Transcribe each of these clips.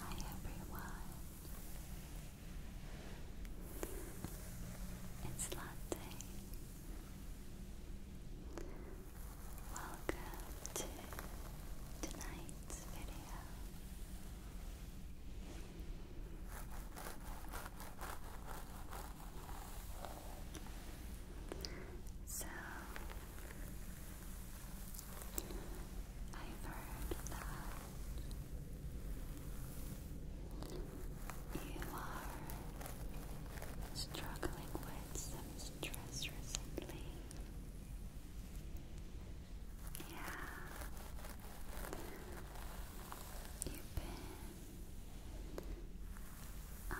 Hi everyone. It's Latte. Welcome to tonight's video. So, I've heard that you are struggling with some stress recently. Yeah, you've been um,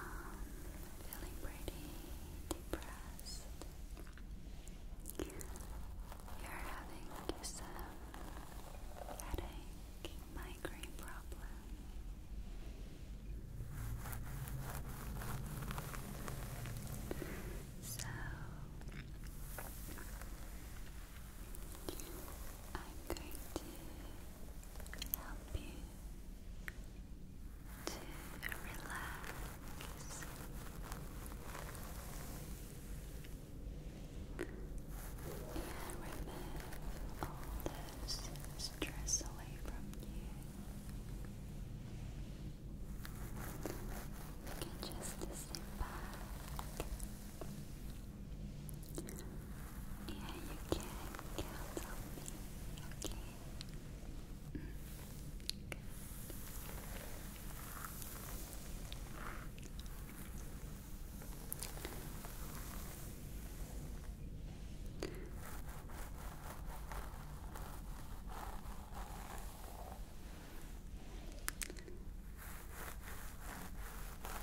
feeling pretty depressed. You're having some headache, migraine problem. So I'm going to help you to relax. And remove all this stress away from you. You can just sit back, yeah, you can count on me, okay?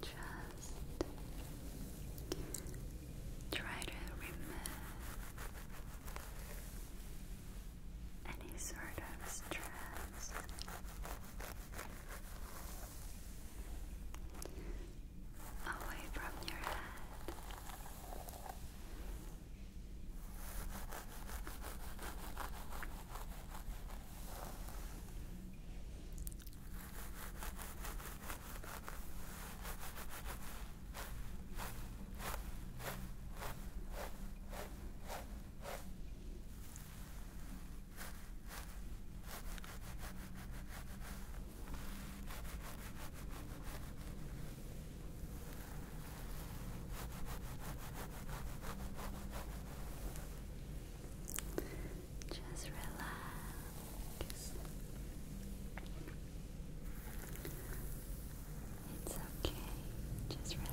Just try to remove any sort of stress away from your head. Just relax. It's okay. Just relax.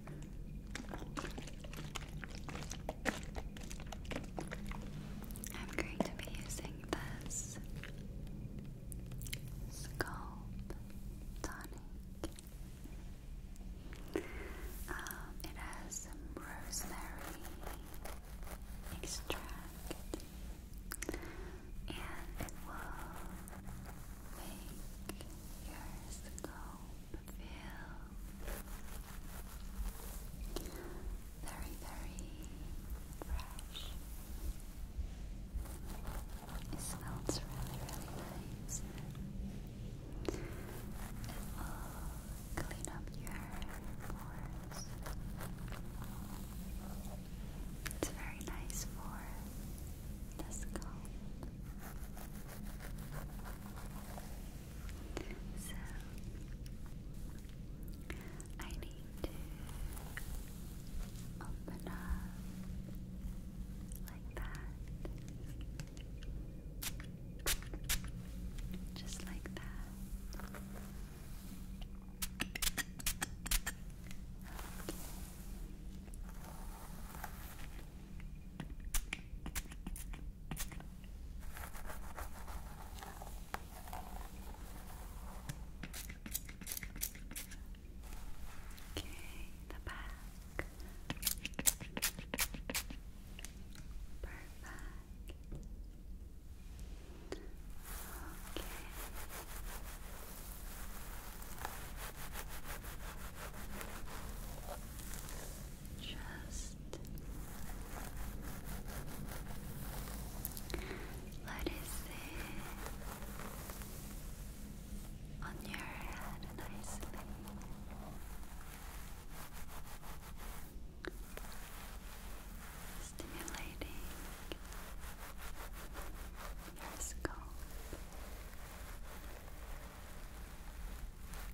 I'm going to be using this Sculpt Tonic. Um, it has rosemary extract, and it will make your scalp feel very, very fresh. It smells really, really nice. It will clean up your pores. It's very nice for this cold. So I need to open up like that. Just like that. Okay, the back. Perfect. Okay. Okay. Just let it sit on your head nicely. Stimulating your scalp. Good. Very nice.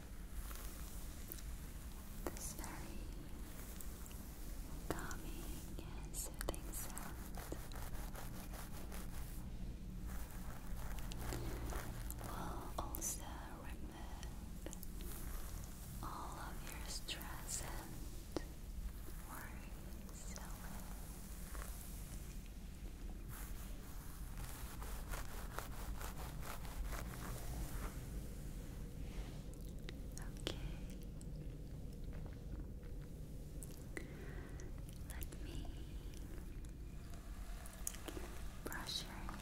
This very calming and soothing sound will also remove all of your stress and worries away. Okay. Let me brush your hair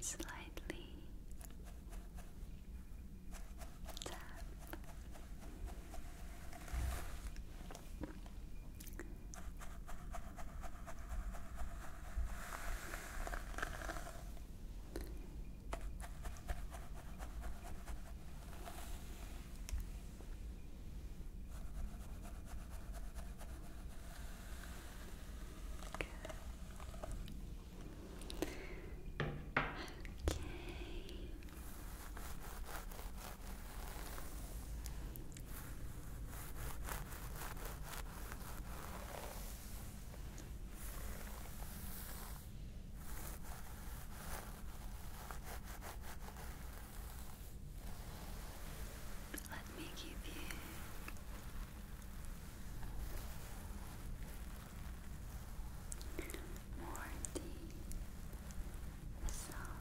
slightly tap Good. Okay. Let me give you more deep massage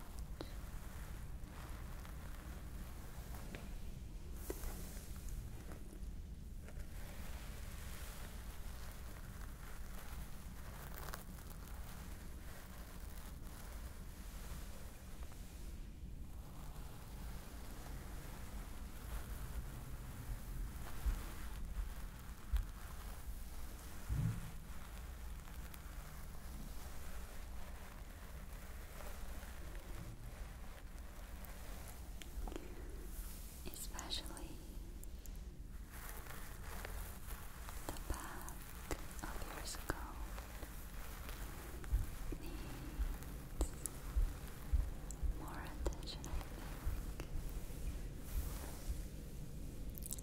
Especially the back of your skull more attention,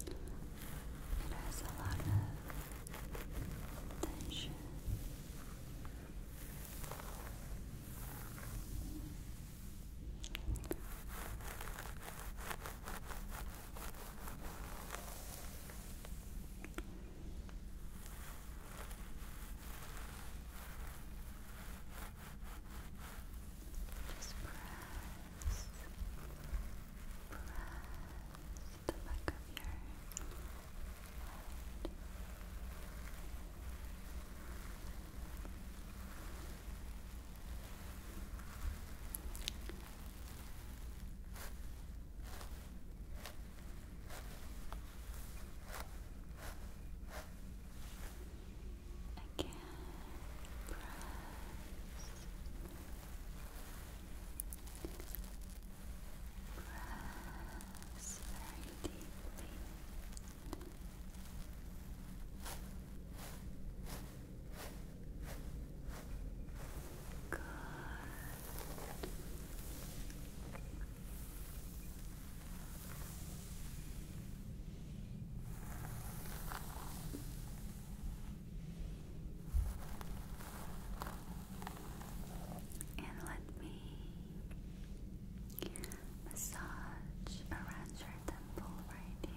It has a lot of tension. Just press, press the back of your Again, press, press very deeply. Good. And let me massage around your temple right here.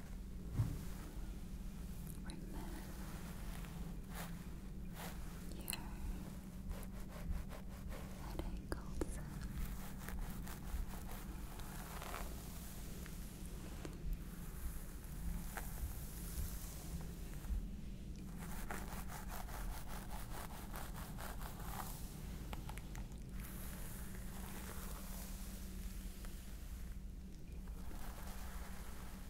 Remove your headache also.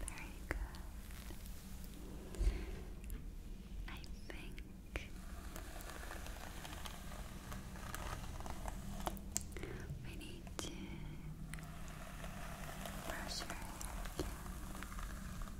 Very good. I think we need to brush your hair again.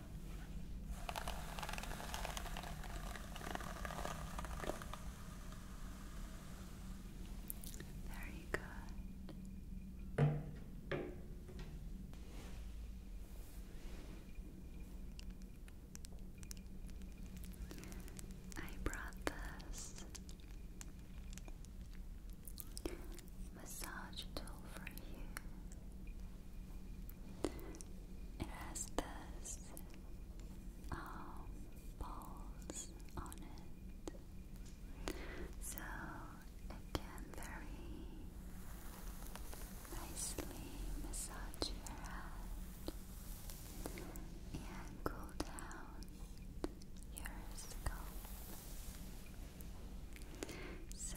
Very good. I brought this massage tool for you. It has this um, balls on it, so it can very nicely massage your head down your scalp. So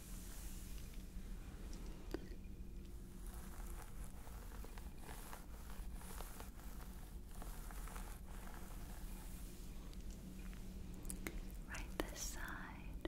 Right this side.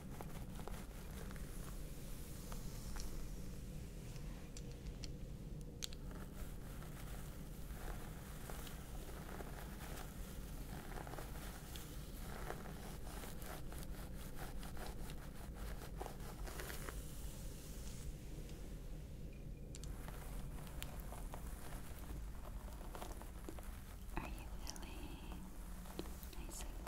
Are you feeling nice and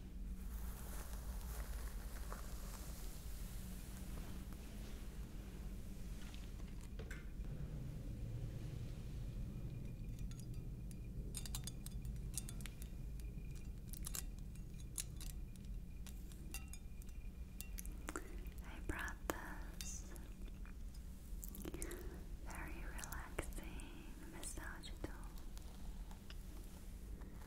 I brought this very relaxing massage tool feels absolutely Relaxing.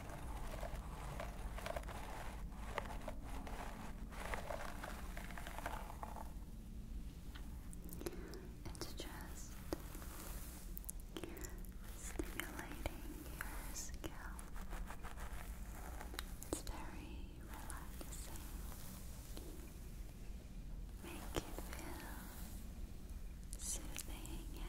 It's just stimulating your scalp. It's very relaxing. Make it feel soothing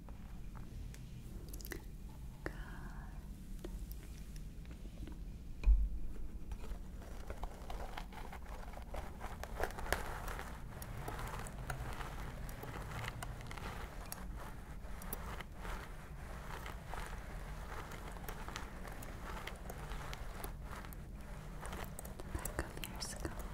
Good. The back of your skull.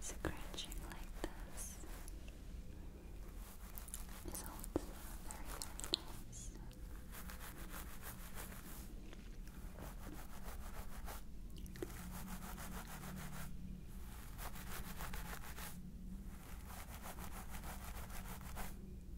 scratching like this is also very, nice.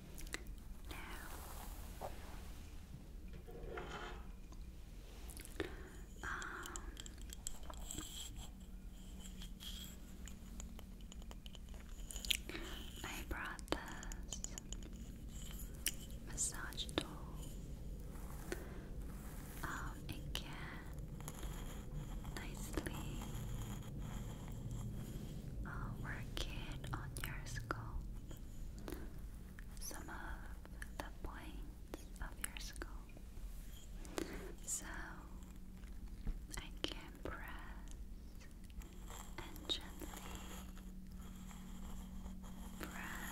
Now, um, I brought this massage tool. Um, it can nicely uh, work it on your scalp some of the points of your skull. So I can press and gently press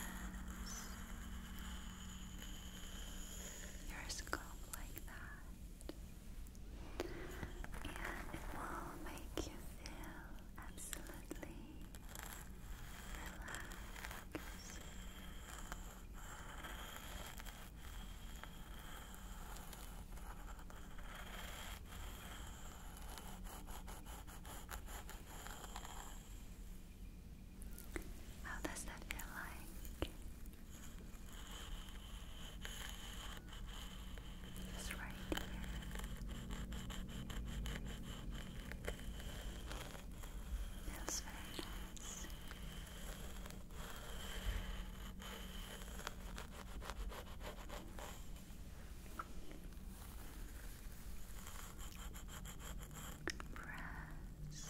your scalp like that, and it will make you feel absolutely. Definitely relax. How does that feel like? Just right here. That's very nice. Press.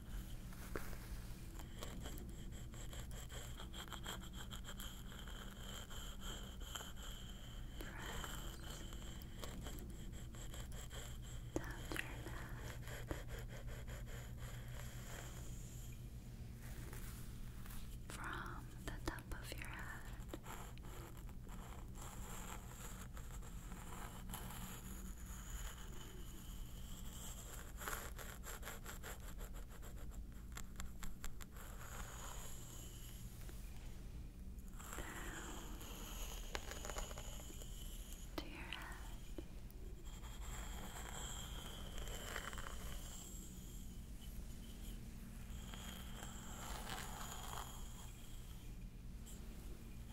from the top of your head down to your head.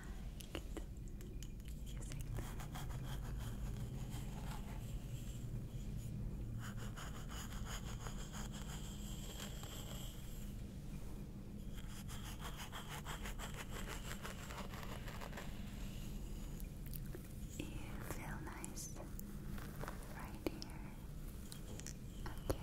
relaxed You feel nice right here. Okay.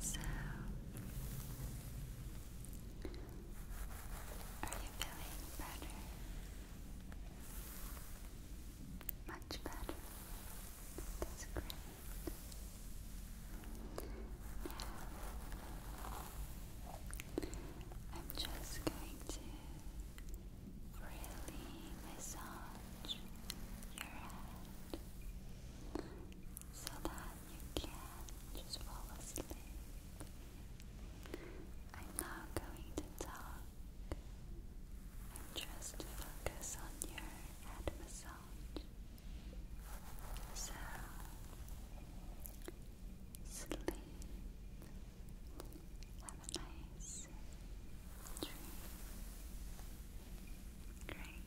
So, are you feeling better? Much better. That's great. I'm just going to really massage your head so that you can just fall asleep. I'm not going to talk. I'm just focus on your head massage. So sleep. Have a nice dream. Great.